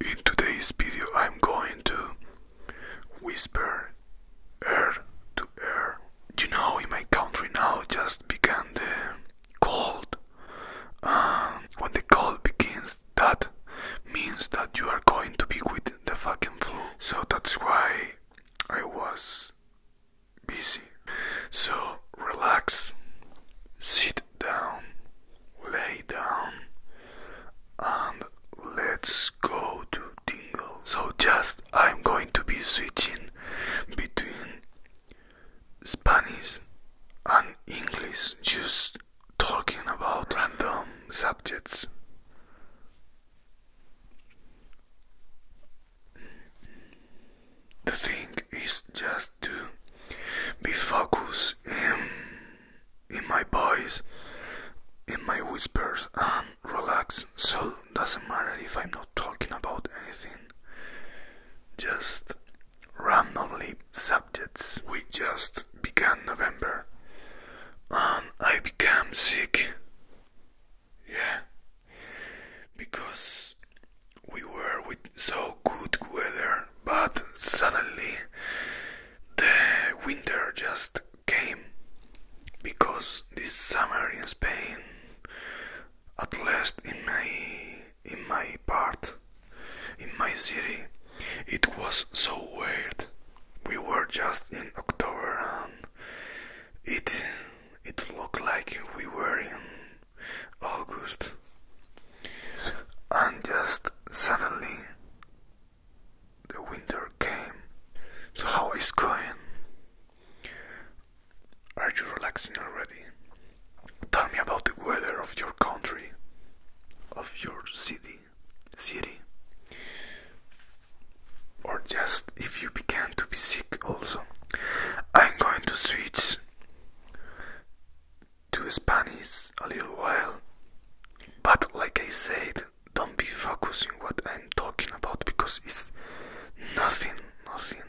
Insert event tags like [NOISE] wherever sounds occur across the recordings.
In today's video I'm going to whisper air to air. You know in my country now just began the cold. Um, when the cold begins that means that you are going to be with the fucking flu. So that's why I was busy. So relax, sit down, lay down, and let's go to Dingo. So just I'm going to be switching between Spanish and English just talking about random subjects. The thing is just to be focused in, in my voice, in my whispers, and relax. So doesn't matter if I'm not talking about anything. Just randomly subjects. We just began November. And I became sick. Yeah. Because we were with so good weather, but suddenly the winter just came. Because this summer in Spain, at least in May in my part, in my city. It was so weird. We were just in October and it it looked like we were in August. And just suddenly the winter came. So how is going? Are you relaxing already? Tell me about the weather of your country, of your city, city. Or just if you began to be sick also. I'm going to switch to Spanish a little while. But like I said, don't be focusing what I'm talking about because it's nothing, nothing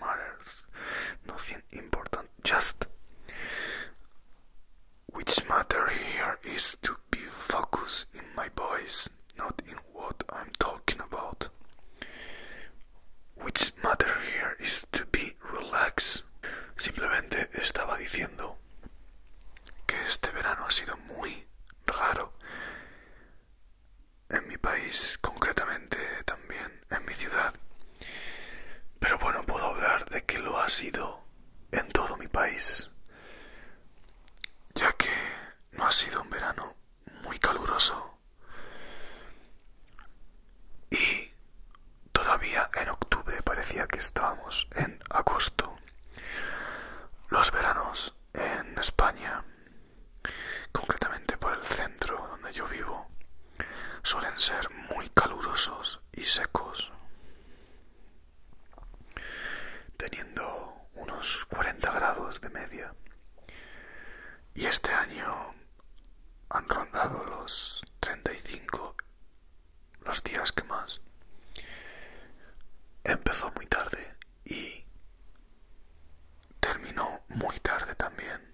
matters, nothing important just which matter here is to be focused in my voice, not in what I'm talking about. Which matter here is to be relaxed. Simplemente estaba diciendo que este verano ha sido muy raro en mi país, concretamente también en, mi ciudad. Pero bueno, puedo hablar de que lo ha sido en todo mi país, ya que no ha sido un verano muy caluroso y todavía en octubre parecía que estábamos en agosto. Los veranos en España, concretamente por el centro donde yo vivo, Suelen ser muy calurosos y secos, teniendo unos 40 grados de media. Y este año han rondado los 35 los días que más. Empezó muy tarde y terminó muy tarde también.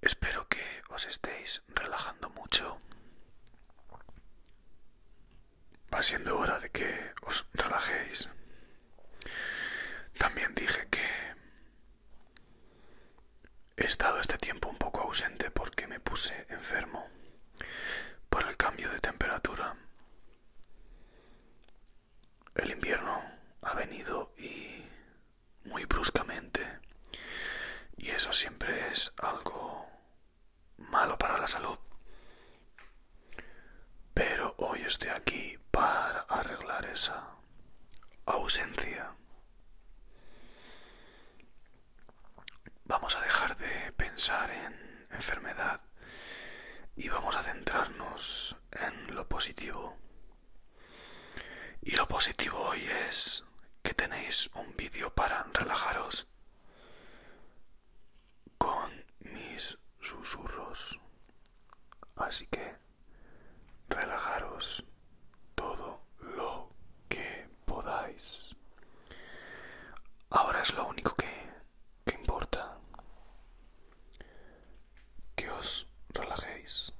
Espero que os estéis relajando mucho. Va siendo hora de que os relajéis. También dije que he estado este tiempo un poco ausente porque me puse enfermo por el cambio de temperatura. El invierno ha venido y muy bruscamente y eso siempre es algo malo para la salud. Pero hoy estoy aquí para arreglar esa ausencia vamos a dejar de pensar en enfermedad y vamos a centrarnos en lo positivo. Y lo positivo hoy es que tenéis un vídeo para relajaros con mis susurros. Así que relajaros todo lo que podáis. Ahora es lo único que, que importa. Que os relajéis.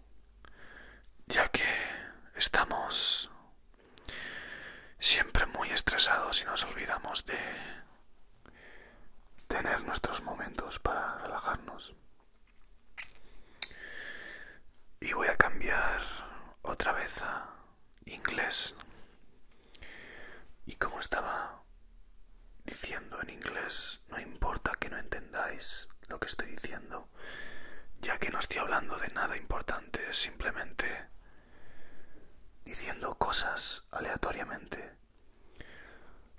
Ya que estamos siempre muy estresados y nos olvidamos de tener nuestros momentos para relajarnos y voy a cambiar otra vez a inglés. Y como estaba diciendo en inglés, no importa que no entendáis lo que estoy diciendo, ya que no estoy hablando de nada importante, simplemente diciendo cosas aleatoriamente.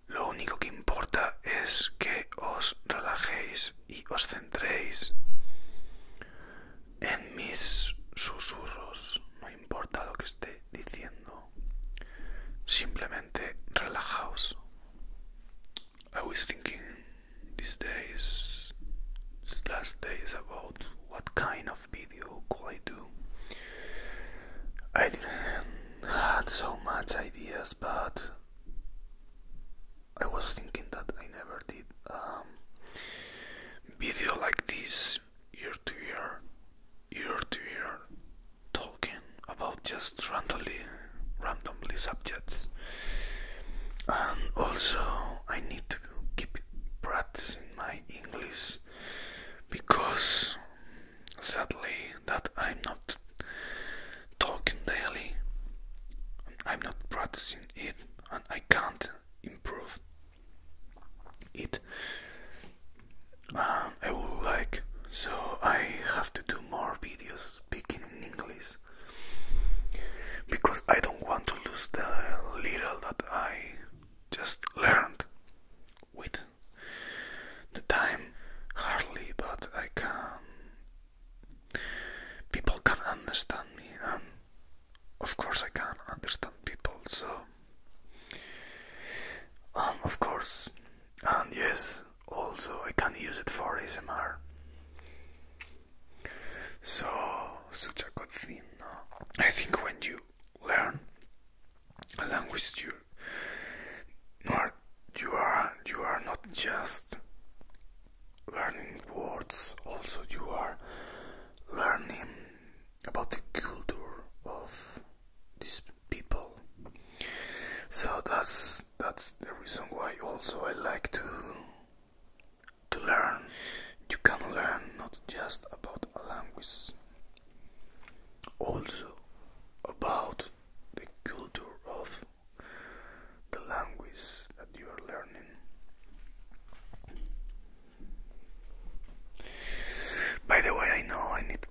Lo único que importa es que os relajéis y os centréis en mis susurros, no importa lo que esté diciendo, simplemente relajaos. I was thinking these days, these last days, about what kind of video could I do. I didn't had so much ideas, but I was thinking that I never did um, video like this year to year, year to year, talking about just randomly, randomly subjects. And also, I need to keep practicing my English because sadly that I'm not talking daily. I'm not practicing it and I can't improve it. Um, I would like, so I have to do more videos speaking in English because I don't want to lose the little that I just learned with the time hardly, but I can people can understand me and of course I can understand people so um of course and yes also I can use it for ASMR so such a good thing I think when you learn a language you are you are you are not just learning words also you are learning about the culture of these people so that's that's the reason why also I like to to learn you can learn not just about a language also about the culture of the language that you are learning. By the way, I know I need to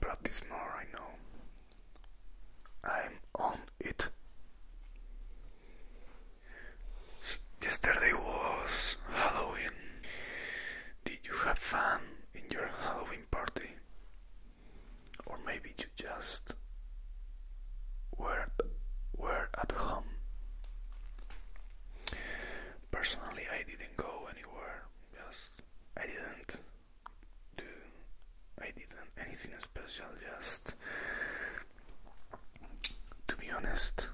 practice more, I know. I'm on it. Yesterday was Halloween. Did you have fun in your Halloween party? or maybe you just were were at home. Personally, I didn't go anywhere. Just I didn't do I didn't anything special. Just to be honest,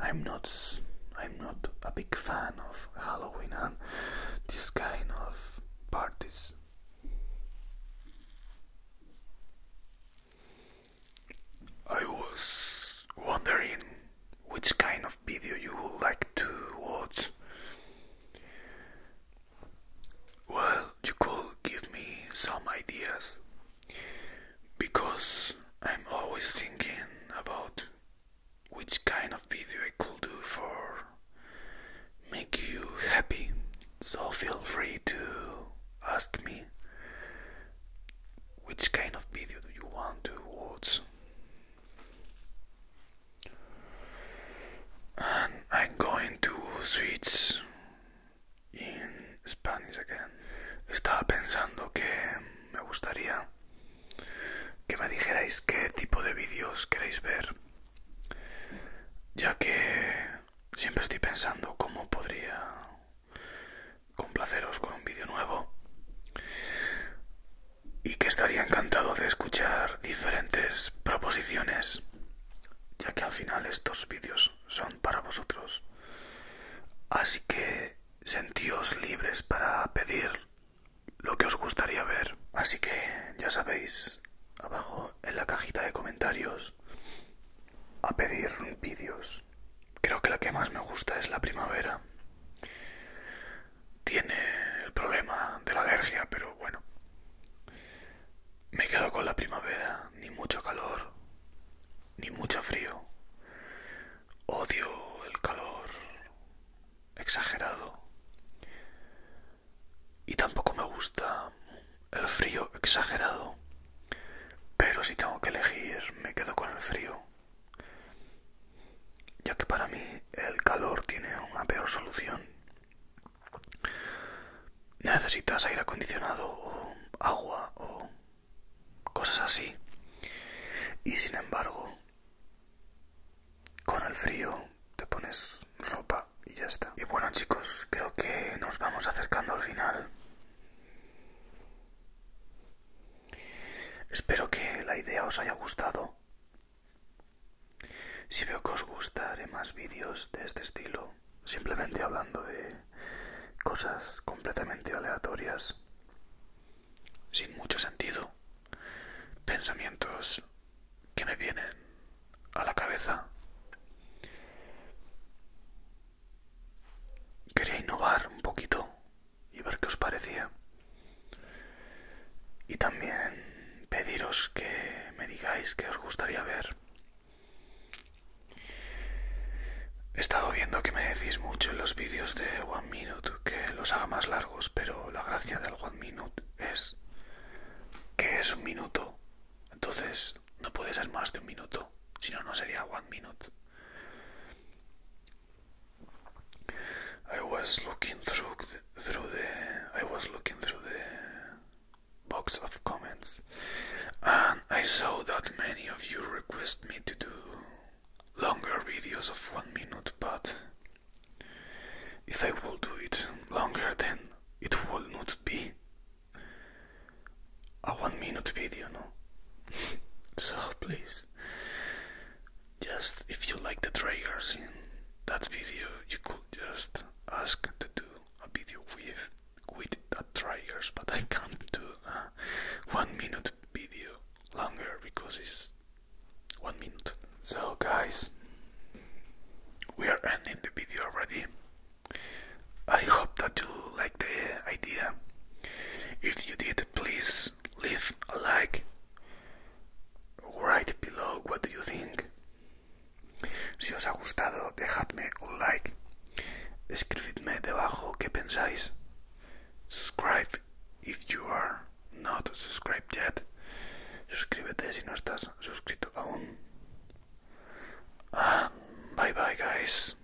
I'm not I'm not a big fan of Halloween and this kind of parties. I was wondering which kind of video you would like to watch. Well, you could give me some ideas because I'm always thinking about which kind of video I could do for make you happy. So feel free to ask me which kind of video do you want to watch. I'm going to switch in Spanish again. Estaba pensando que me gustaría que me dijerais qué tipo de vídeos queréis ver ya que siempre estoy pensando cómo podría complaceros con un vídeo nuevo y que estaría encantado de escuchar diferentes proposiciones ya que al final estos vídeos son para vosotros así que sentíos libres para pedir lo que os gustaría ver. Así que ya sabéis, abajo en la cajita de comentarios, a pedir vídeos. Creo que la que más me gusta es la primavera. Tiene el problema de la alergia, pero bueno. Me quedo con la primavera, ni mucho calor, ni mucho frío. Odio el calor, exagerado. Y tampoco me gusta el frío exagerado. Pero si tengo que elegir, me quedo con el frío. Ya que para mí el calor tiene una peor solución. Necesitas aire acondicionado o agua o cosas así. Y sin embargo, con el frío te pones ropa y ya está. Y bueno chicos, creo que nos vamos acercando al final. Espero que la idea os haya gustado. Si veo que os gustaré más vídeos de este estilo, simplemente hablando de cosas completamente aleatorias, sin mucho sentido pensamientos que me vienen a la cabeza. Quería innovar un poquito y ver qué os parecía. Y también pediros que me digáis qué os gustaría ver. He estado viendo que me decís mucho en los vídeos de One Minute que los haga más largos pero la gracia del One Minute es que es un minuto. Entonces no puede ser más de un minuto, si no, no sería One Minute. I was looking through through the I was looking through the box of comments and I saw that many of you request me to do longer videos of one minute, but if I will do it longer, then it will not be a one minute video, no? [LAUGHS] so please, just if you like the triggers in that video, you could just ask to do a video with with that triggers, but I can't do a one minute video longer because it's one minute. So, guys, we are ending the video already. I hope that you like the idea. If you did, please leave a like. right below what do you think. Si os ha gustado, dejadme un like. Escribidme debajo qué pensáis. Subscribe if you are not subscribed yet. Suscríbete si no estás suscrito aún. bye bye, guys.